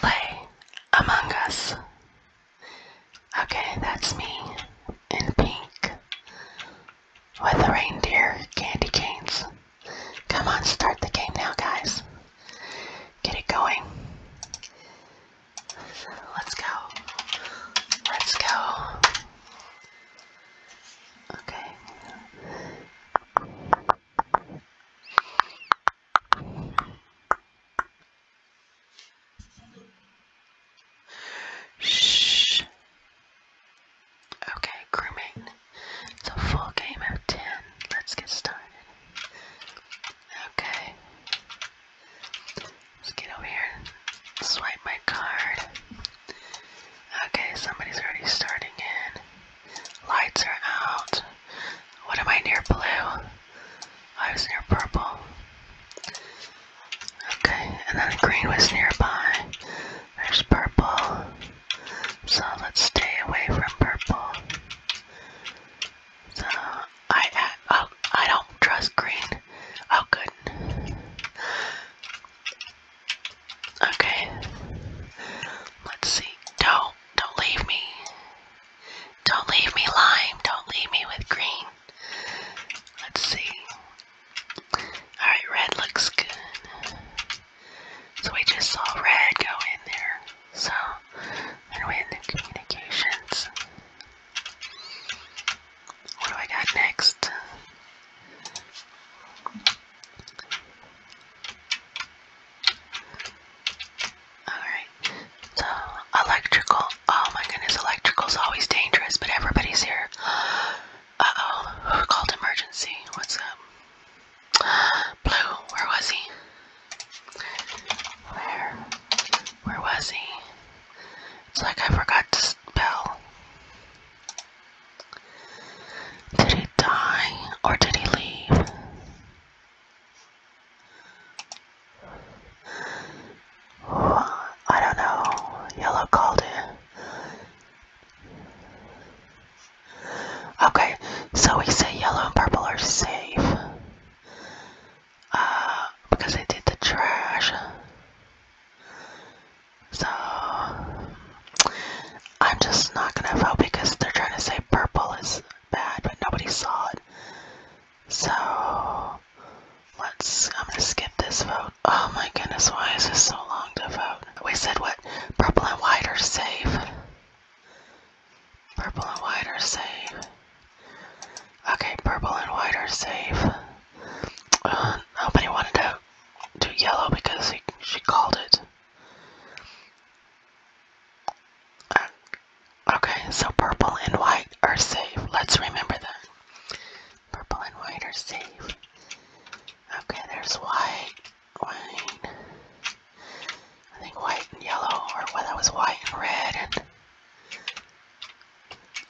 Play Among Us. Okay, that's me in pink with the reindeer candy canes. Come on, start the game now, guys. Get it going. Let's go. Let's go. Okay. Shh. Okay, crewmate. It's a full game of ten. Let's get started. Okay. Let's get over here swipe my card. Okay, somebody's already starting in. Lights are out. What am I near blue? I was near purple. Okay, and then green was nearby. There's purple. So let's stay away from purple. So I oh I don't trust green. Oh good. Okay. Let's see. Don't. Don't leave me. Don't leave me lime. Don't leave me with green. Let's see. Alright, red looks good. So we just saw red go in there. So, then we in the communications. What do I got next? Alright. So, electrical. Oh my goodness, electrical's always dangerous, but everybody's here. Uh oh. Called emergency. What's up? Blue, where was he? Where? Where was he? It's like I forgot to spell. Did he die or did he leave? I don't know. Yellow called it. Okay, so we say yellow and purple are safe. Uh, because they did the trash. So I'm just not gonna vote because they're trying to say purple is bad, but nobody saw it. So let's I'm gonna skip this vote. Oh my goodness, why is this so long to vote? We said what? Purple and white are safe. Purple and white are safe. Okay, purple and white are safe. Uh, nobody wanted to do yellow because she called it. Okay, so purple and white are safe. Let's remember that. Purple and white are safe. Okay, there's white, white. I think white and yellow, or well, that was white and red.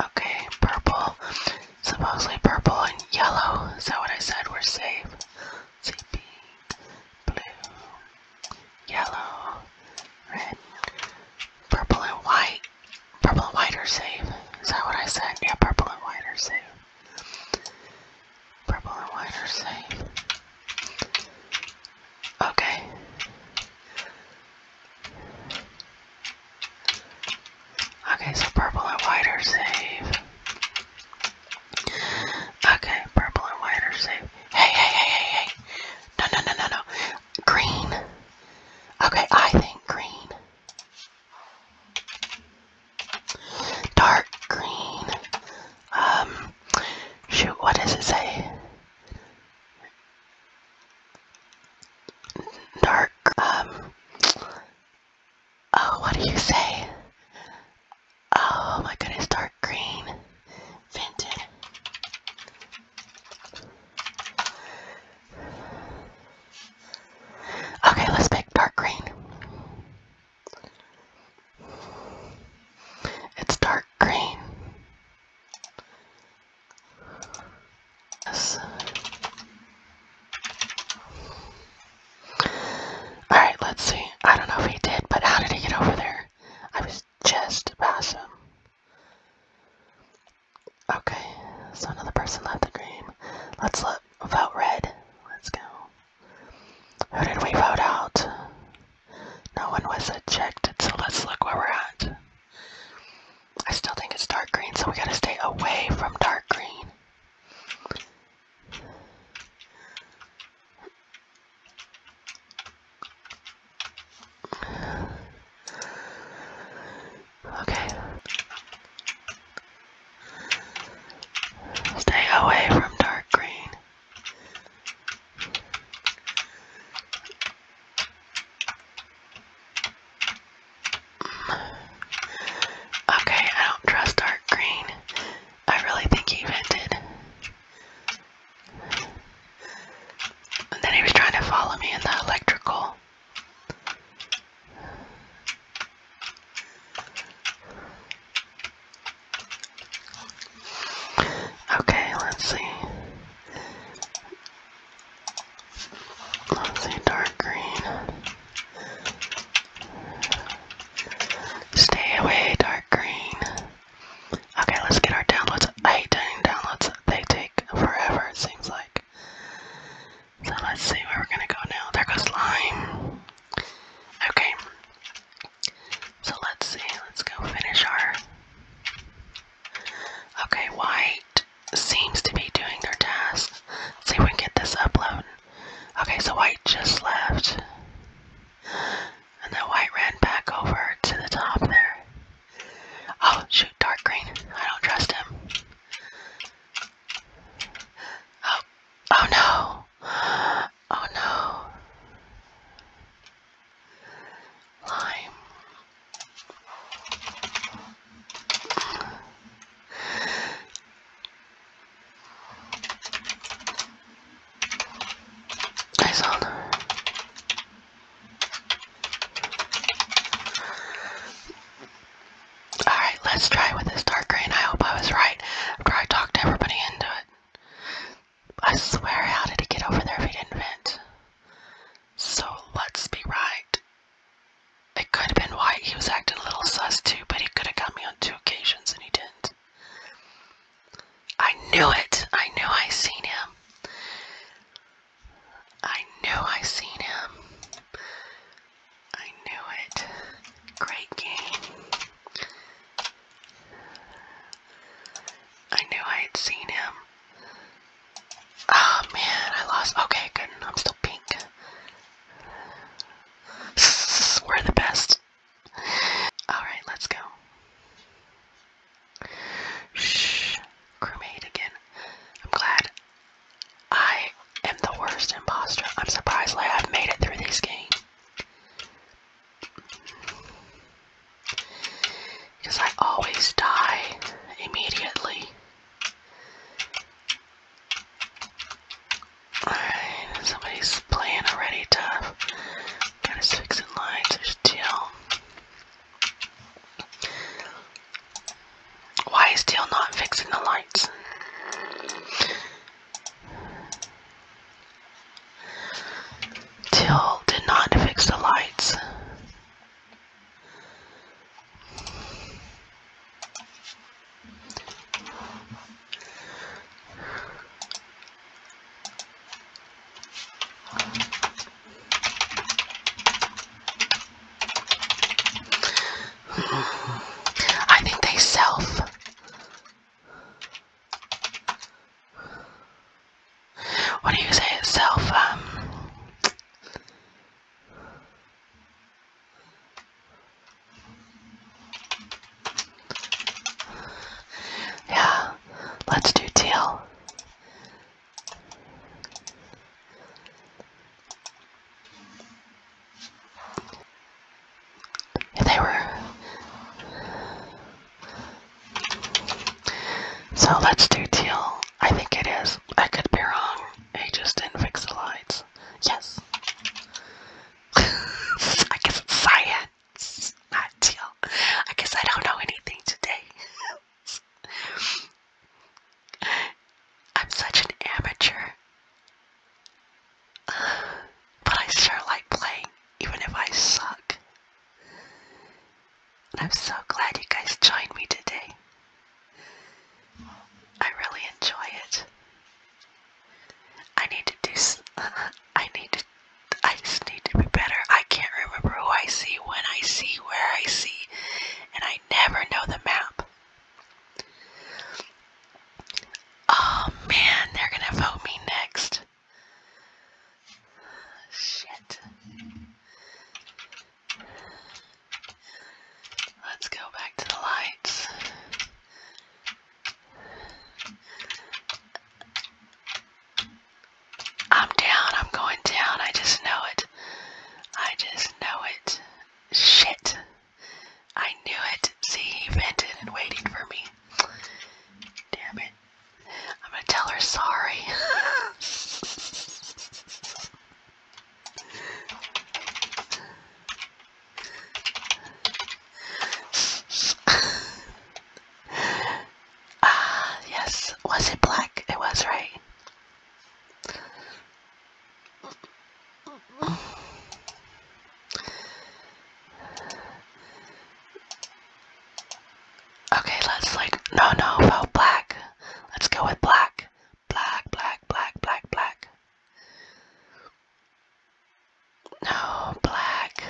okay, purple. Supposedly purple and yellow. Is that what I said? We're safe blue, yellow, red, purple and white. Purple and white are safe. Is that what I said? Yeah, purple and white are safe. Purple and white are safe. Okay. Okay, so purple and white are safe. Okay, purple and white or safe. Hey, hey, hey, hey, hey. No, no, no, no, no. Green. Okay, I think green. Dark green. Um, shoot, what does it say? Dark, um, Oh, what do you say? Oh my goodness, dark green. Okay, let's pick dark green. It's dark green. Yes. Alright, let's see. I don't know if he did, but how did he get over there? I was just past him. Okay, so another person left the game. Let's look. Vote red. Let's go. Who did we vote out? No one was ejected, so let's look where we're at. I still think it's dark green, so we gotta stay away from dark green. Okay. Stay away from dark green. Okay, I don't trust dark green. I really think he vented. And then he was trying to follow me in the electrical. Okay, let's see. Let's see, dark green. Stay away, dark green. Okay, let's get our downloads. 18 downloads. They take forever, it seems like. So let's see where we're gonna go now. There goes lime. Okay. So let's see. Let's go finish our. Okay, white seems to be doing their task. see if we get this upload. Okay, so White just left. And then White ran back over to the top there. Oh, shoot, dark green. I don't trust him. Oh, oh no. Oh no. Lime. I saw her. Alright, let's try with this dark green. I hope I was right after I talked everybody into it. I swear, how did it get over there if we didn't vent? So let's be right. It could have been why he was acting a little sus too, but he could have got me on two occasions and he didn't. I knew it! I knew I seen him. I knew I seen him. I knew it. Great game. I knew I had seen him. Oh man, I lost. Okay, good. I'm still pink. We're the best. Alright, let's go. Shh. Crewmate again. I'm glad I am the worst imposter. I'm surprised I've made it through this game. I always die immediately. Alright, somebody's playing already tough. Got his fixing lines, there's Teal. Why is Teal not fixing the lights? Teal did not fix the lights. I think they self. What do you say? Self, um, yeah, let's do teal. they were. So let's do teal. I think it is. I could be wrong. I just didn't fix the lights. Yes. I guess science, not teal. I guess I don't know anything today. I'm such an amateur. But I sure like playing, even if I suck. And I'm so glad you guys joined me today. I really enjoy it. I need to do. I need to. I just need to be better. I can't remember who I see, when I see, where I see, and I never know the map. Oh man, they're gonna vote me next. Shit. Let's go back to the lights. I'm down. I'm going down. I just know it. I just know it. Shit. I knew it. See, he vented and waiting for me. Damn it. I'm gonna tell her sorry. Ah, yes. Was it black? It was, right? Okay, let's like, no, no, vote black. Let's go with black. Black, black, black, black, black. No, black.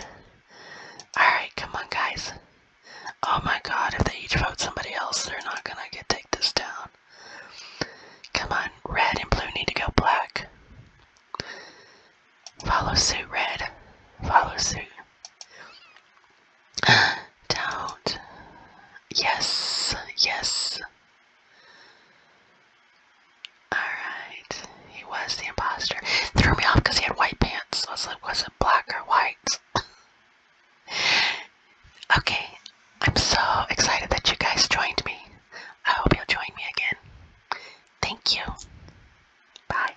Alright, come on, guys. Oh my god, if they each vote somebody else, they're not gonna get take this down. Come on, red and blue need to go black. Follow suit, red. Follow suit. do Yes, yes. Alright. He was the imposter. threw me off because he had white pants. was was it black or white? okay. I'm so excited that you guys joined me. I hope you'll join me again. Thank you. Bye.